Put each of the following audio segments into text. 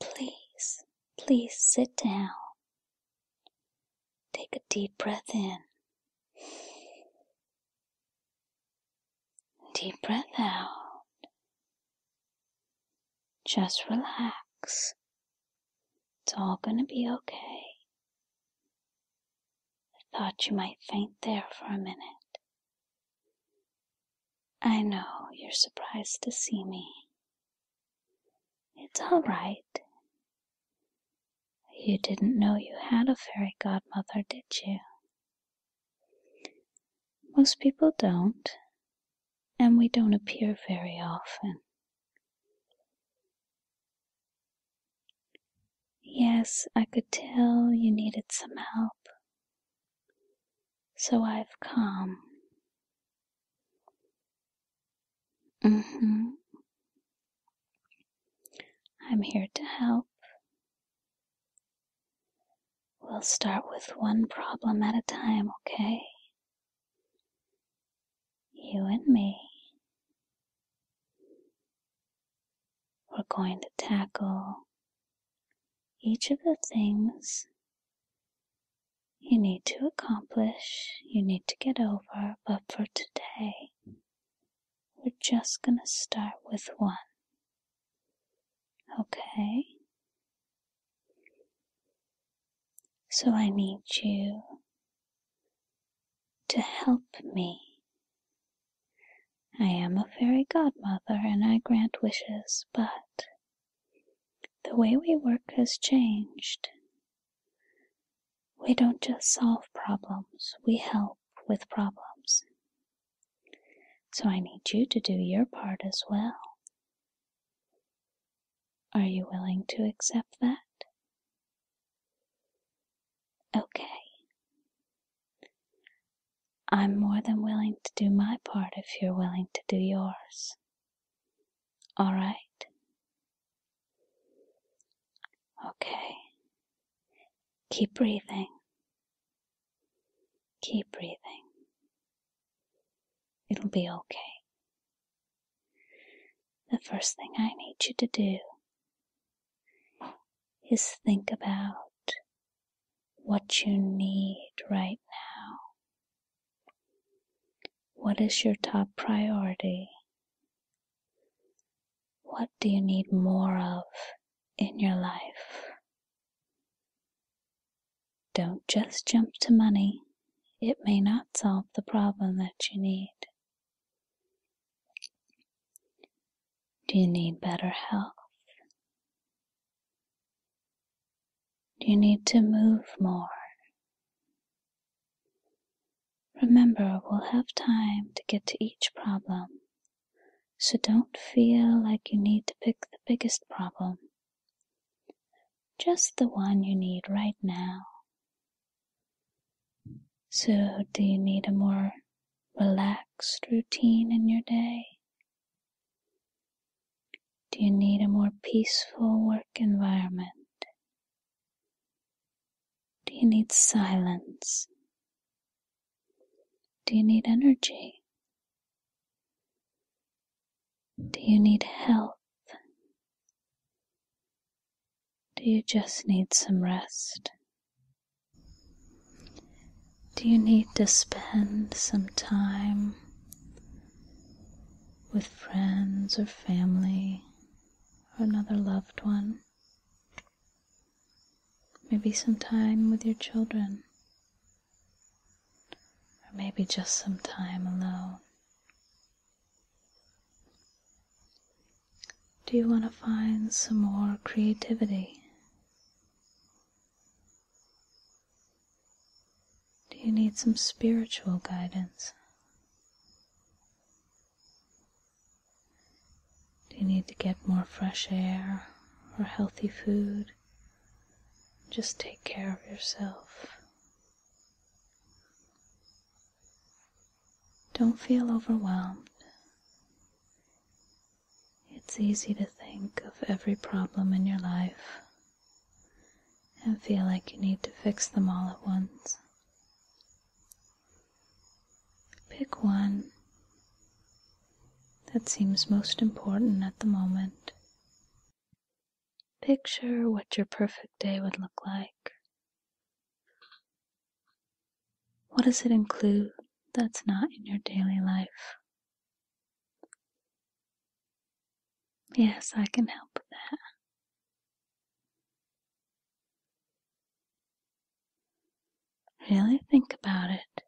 Please, please sit down. Take a deep breath in. Deep breath out. Just relax. It's all gonna be okay. I thought you might faint there for a minute. I know you're surprised to see me. It's all right. You didn't know you had a fairy godmother, did you? Most people don't, and we don't appear very often. Yes, I could tell you needed some help. So I've come. Mm-hmm. I'm here to help. We'll start with one problem at a time, okay? You and me. We're going to tackle each of the things you need to accomplish, you need to get over, but for today, we're just going to start with one. Okay? So I need you to help me I am a fairy godmother and I grant wishes, but the way we work has changed. We don't just solve problems, we help with problems. So I need you to do your part as well. Are you willing to accept that? Okay. I'm more than willing to do my part if you're willing to do yours. All right? Okay. Keep breathing. Keep breathing. It'll be okay. The first thing I need you to do is think about what you need right now. What is your top priority? What do you need more of in your life? Don't just jump to money. It may not solve the problem that you need. Do you need better health? You need to move more. Remember, we'll have time to get to each problem, so don't feel like you need to pick the biggest problem. Just the one you need right now. So, do you need a more relaxed routine in your day? Do you need a more peaceful work environment? Do you need silence? Do you need energy? Do you need health? Do you just need some rest? Do you need to spend some time with friends or family or another loved one? Maybe some time with your children, or maybe just some time alone. Do you want to find some more creativity? Do you need some spiritual guidance? Do you need to get more fresh air or healthy food? Just take care of yourself. Don't feel overwhelmed. It's easy to think of every problem in your life and feel like you need to fix them all at once. Pick one that seems most important at the moment. Picture what your perfect day would look like. What does it include that's not in your daily life? Yes, I can help that. Really think about it.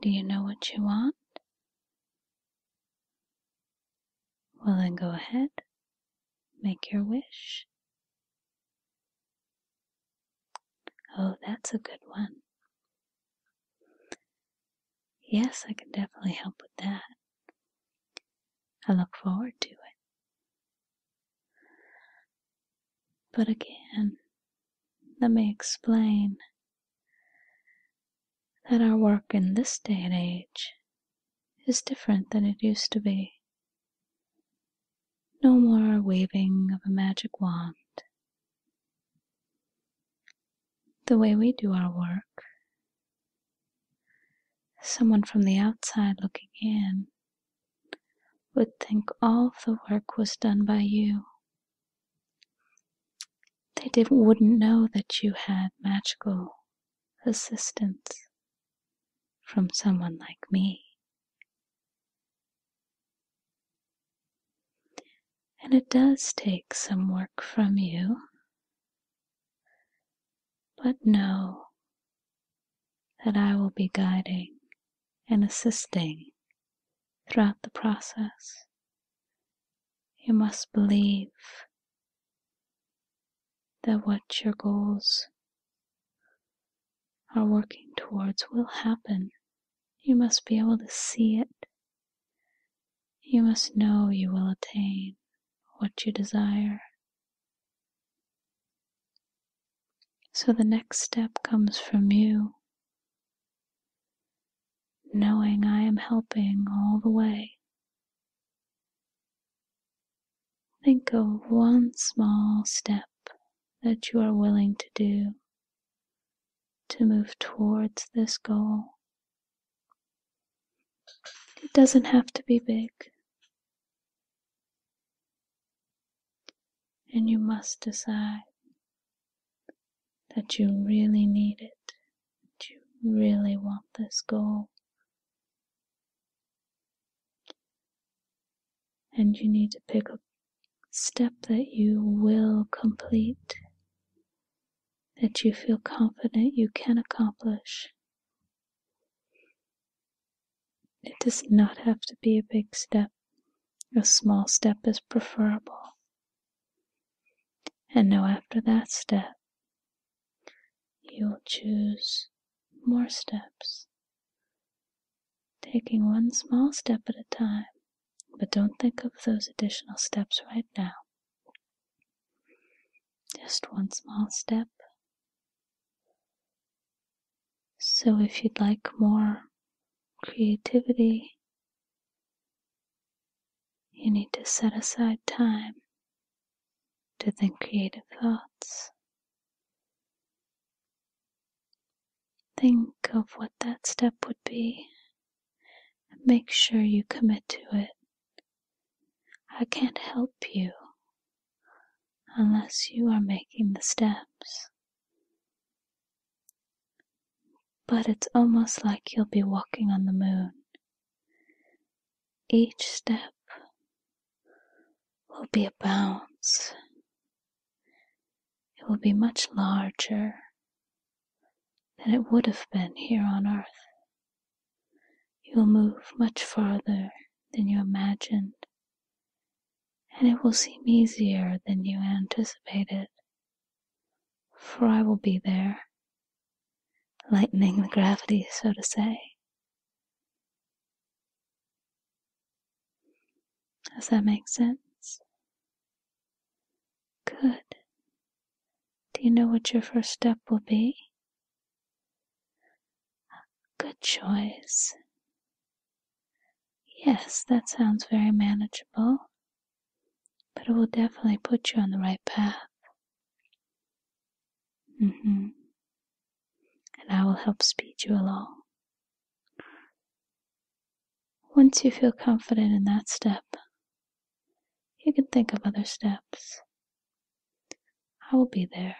Do you know what you want? Well, then go ahead, make your wish. Oh, that's a good one. Yes, I can definitely help with that. I look forward to it. But again, let me explain that our work in this day and age is different than it used to be. No more waving of a magic wand. The way we do our work, someone from the outside looking in would think all the work was done by you. They wouldn't know that you had magical assistance from someone like me. And it does take some work from you. But know that I will be guiding and assisting throughout the process. You must believe that what your goals our working towards will happen. You must be able to see it. You must know you will attain what you desire. So the next step comes from you. Knowing I am helping all the way. Think of one small step that you are willing to do to move towards this goal. It doesn't have to be big. And you must decide that you really need it, that you really want this goal. And you need to pick a step that you will complete, that you feel confident you can accomplish. It does not have to be a big step. A small step is preferable. And now, after that step, you'll choose more steps. Taking one small step at a time, but don't think of those additional steps right now. Just one small step. So, if you'd like more creativity, you need to set aside time to think creative thoughts. Think of what that step would be make sure you commit to it. I can't help you unless you are making the steps. But it's almost like you'll be walking on the moon. Each step will be a bounce. It will be much larger than it would have been here on earth. You'll move much farther than you imagined, and it will seem easier than you anticipated. For I will be there, lightening the gravity, so to say. Does that make sense? Good. Do you know what your first step will be? Good choice. Yes, that sounds very manageable, but it will definitely put you on the right path. Mm-hmm. And I will help speed you along. Once you feel confident in that step, you can think of other steps. I will be there.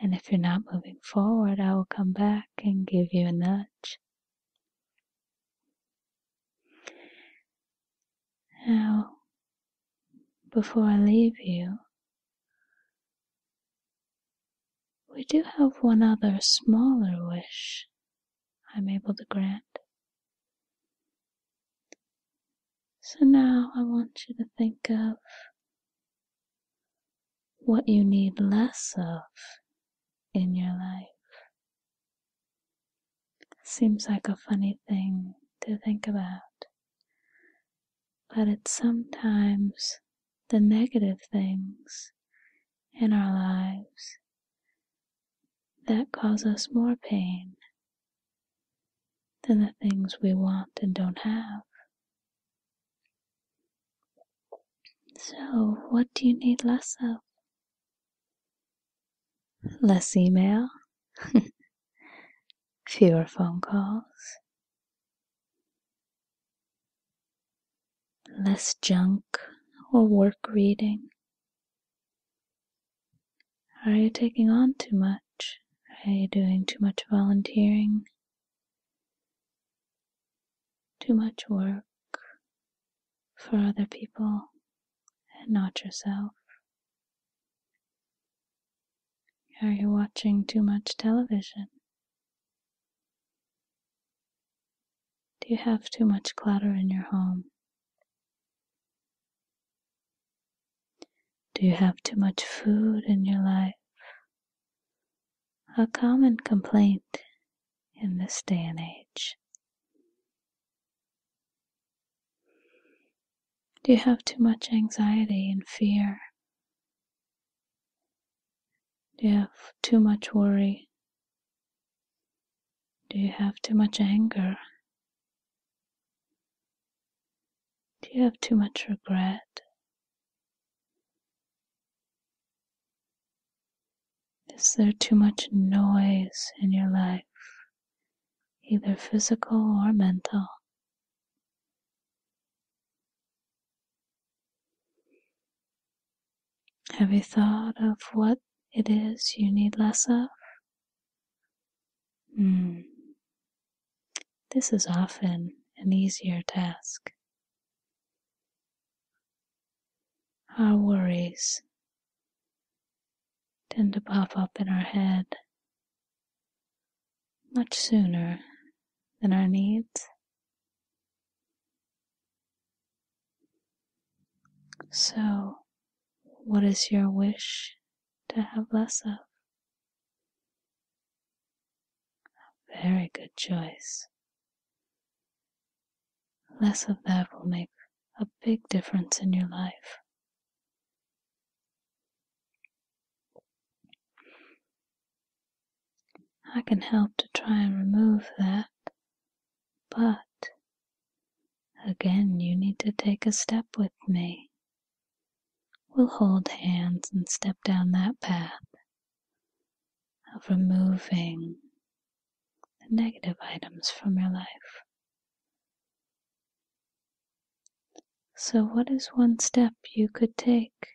And if you're not moving forward, I will come back and give you a nudge. Now, before I leave you, we do have one other smaller wish I'm able to grant. So now I want you to think of what you need less of in your life. Seems like a funny thing to think about. But it's sometimes the negative things in our lives that cause us more pain than the things we want and don't have. So, what do you need less of? Less email, fewer phone calls, less junk or work reading? Are you taking on too much? Are you doing too much volunteering? Too much work for other people and not yourself? Are you watching too much television? Do you have too much clutter in your home? Do you have too much food in your life? A common complaint in this day and age. Do you have too much anxiety and fear? Do you have too much worry? Do you have too much anger? Do you have too much regret? Is there too much noise in your life, either physical or mental? Have you thought of what it is you need less of? Hmm. This is often an easier task. Our worries tend to pop up in our head much sooner than our needs. So, what is your wish to have less of? A very good choice. Less of that will make a big difference in your life. I can help to try and remove that, but again you need to take a step with me. We'll hold hands and step down that path of removing the negative items from your life. So, what is one step you could take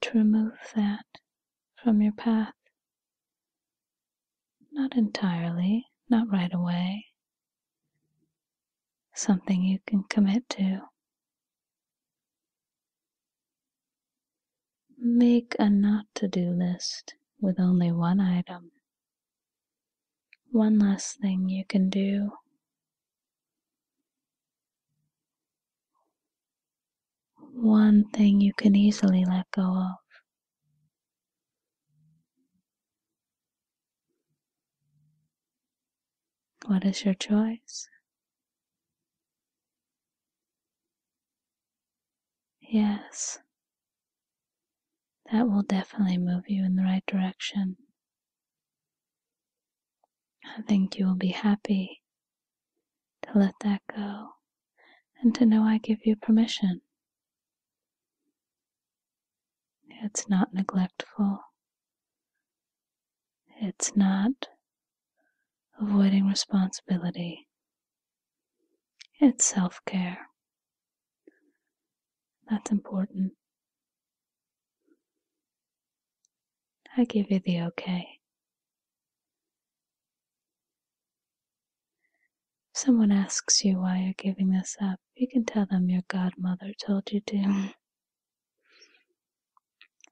to remove that from your path? Not entirely, not right away. Something you can commit to. Make a not to do list with only one item one last thing you can do one thing you can easily let go of. What is your choice? Yes, that will definitely move you in the right direction. I think you will be happy to let that go and to know I give you permission. It's not neglectful. It's not avoiding responsibility. It's self care. That's important. I give you the okay. If someone asks you why you're giving this up, you can tell them your godmother told you to.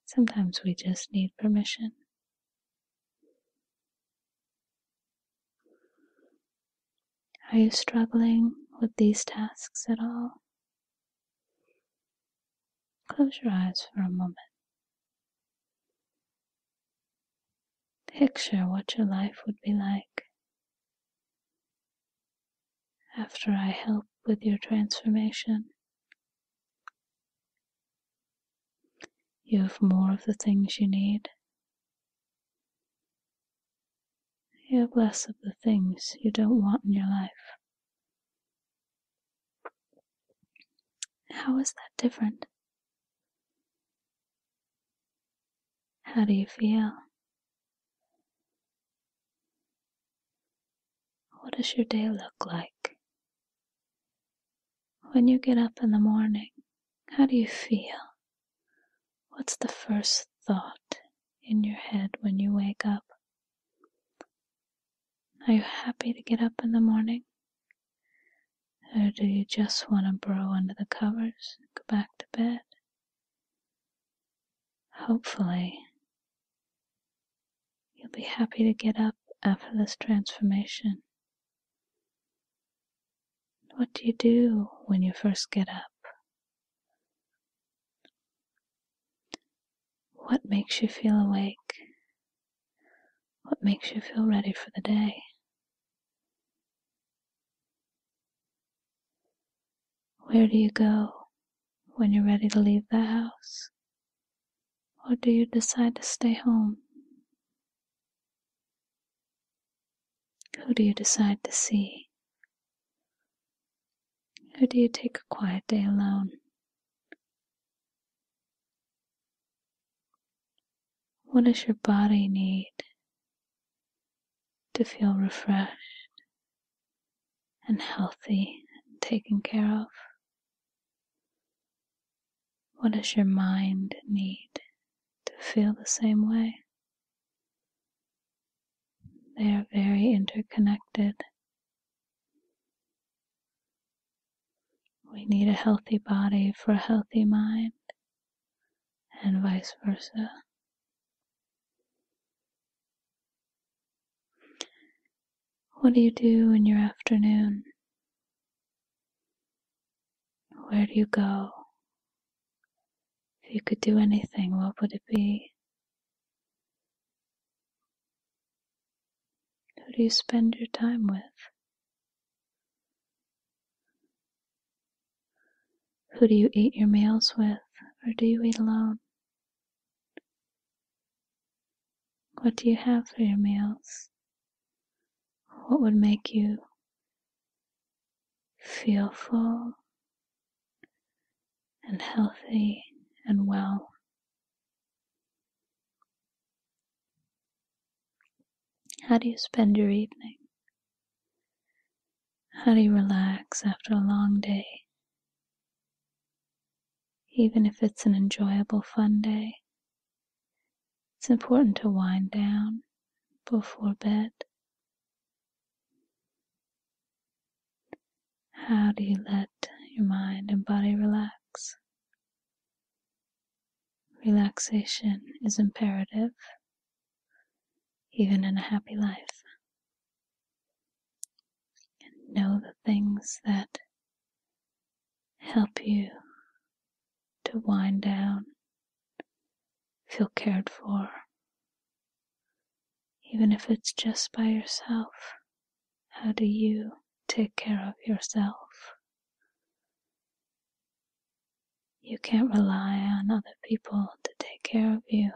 Sometimes we just need permission. Are you struggling with these tasks at all? Close your eyes for a moment. Picture what your life would be like after I help with your transformation. You have more of the things you need. You have less of the things you don't want in your life. How is that different? How do you feel? What does your day look like? When you get up in the morning, how do you feel? What's the first thought in your head when you wake up? Are you happy to get up in the morning? Or do you just want to burrow under the covers and go back to bed? Hopefully, you'll be happy to get up after this transformation what do you do when you first get up? What makes you feel awake? What makes you feel ready for the day? Where do you go when you're ready to leave the house? Or do you decide to stay home? Who do you decide to see? Who do you take a quiet day alone? What does your body need to feel refreshed and healthy and taken care of? What does your mind need to feel the same way. They are very interconnected. We need a healthy body for a healthy mind, and vice versa. What do you do in your afternoon? Where do you go? If you could do anything, what would it be? Who do you spend your time with? Who do you eat your meals with, or do you eat alone? What do you have for your meals? What would make you feel full and healthy and well? How do you spend your evening? How do you relax after a long day? Even if it's an enjoyable, fun day. It's important to wind down before bed. How do you let your mind and body relax? Relaxation is imperative, even in a happy life. know the things that help you to wind down Feel cared for, even if it's just by yourself. How do you take care of yourself? You can't rely on other people to take care of you.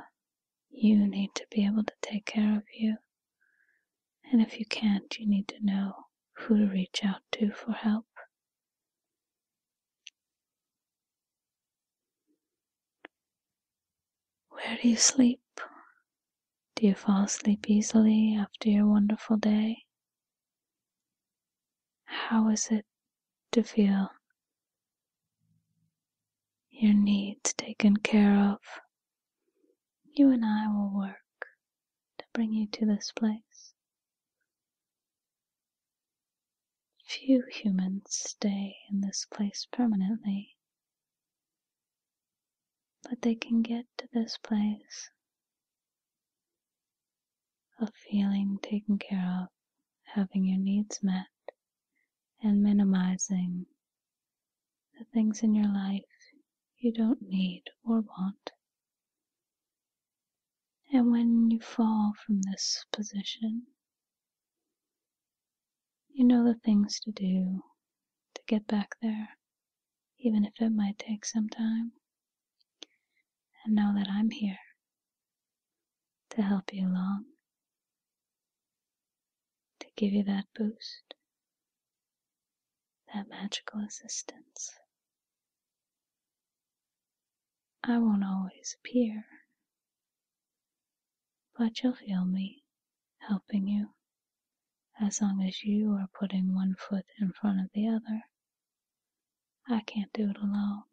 You need to be able to take care of you. And if you can't, you need to know who to reach out to for help. Where do you sleep? Do you fall asleep easily after your wonderful day? How is it to feel your needs taken care of? You and I will work to bring you to this place. Few humans stay in this place permanently, but they can get to this place of feeling taken care of, having your needs met, and minimizing the things in your life you don't need or want. And when you fall from this position, you know the things to do to get back there, even if it might take some time. And know that I'm here to help you along, to give you that boost, that magical assistance. I won't always appear, but you'll feel me helping you as long as you are putting one foot in front of the other. I can't do it alone.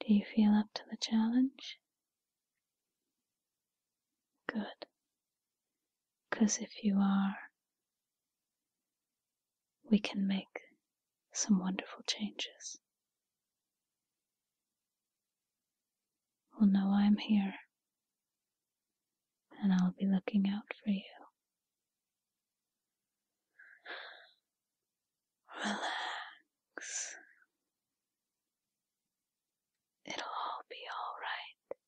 Do you feel up to the challenge? Good. 'Cause if you are, we can make some wonderful changes. Well, know I'm here, and I'll be looking out for you. Relax. It'll all be all right.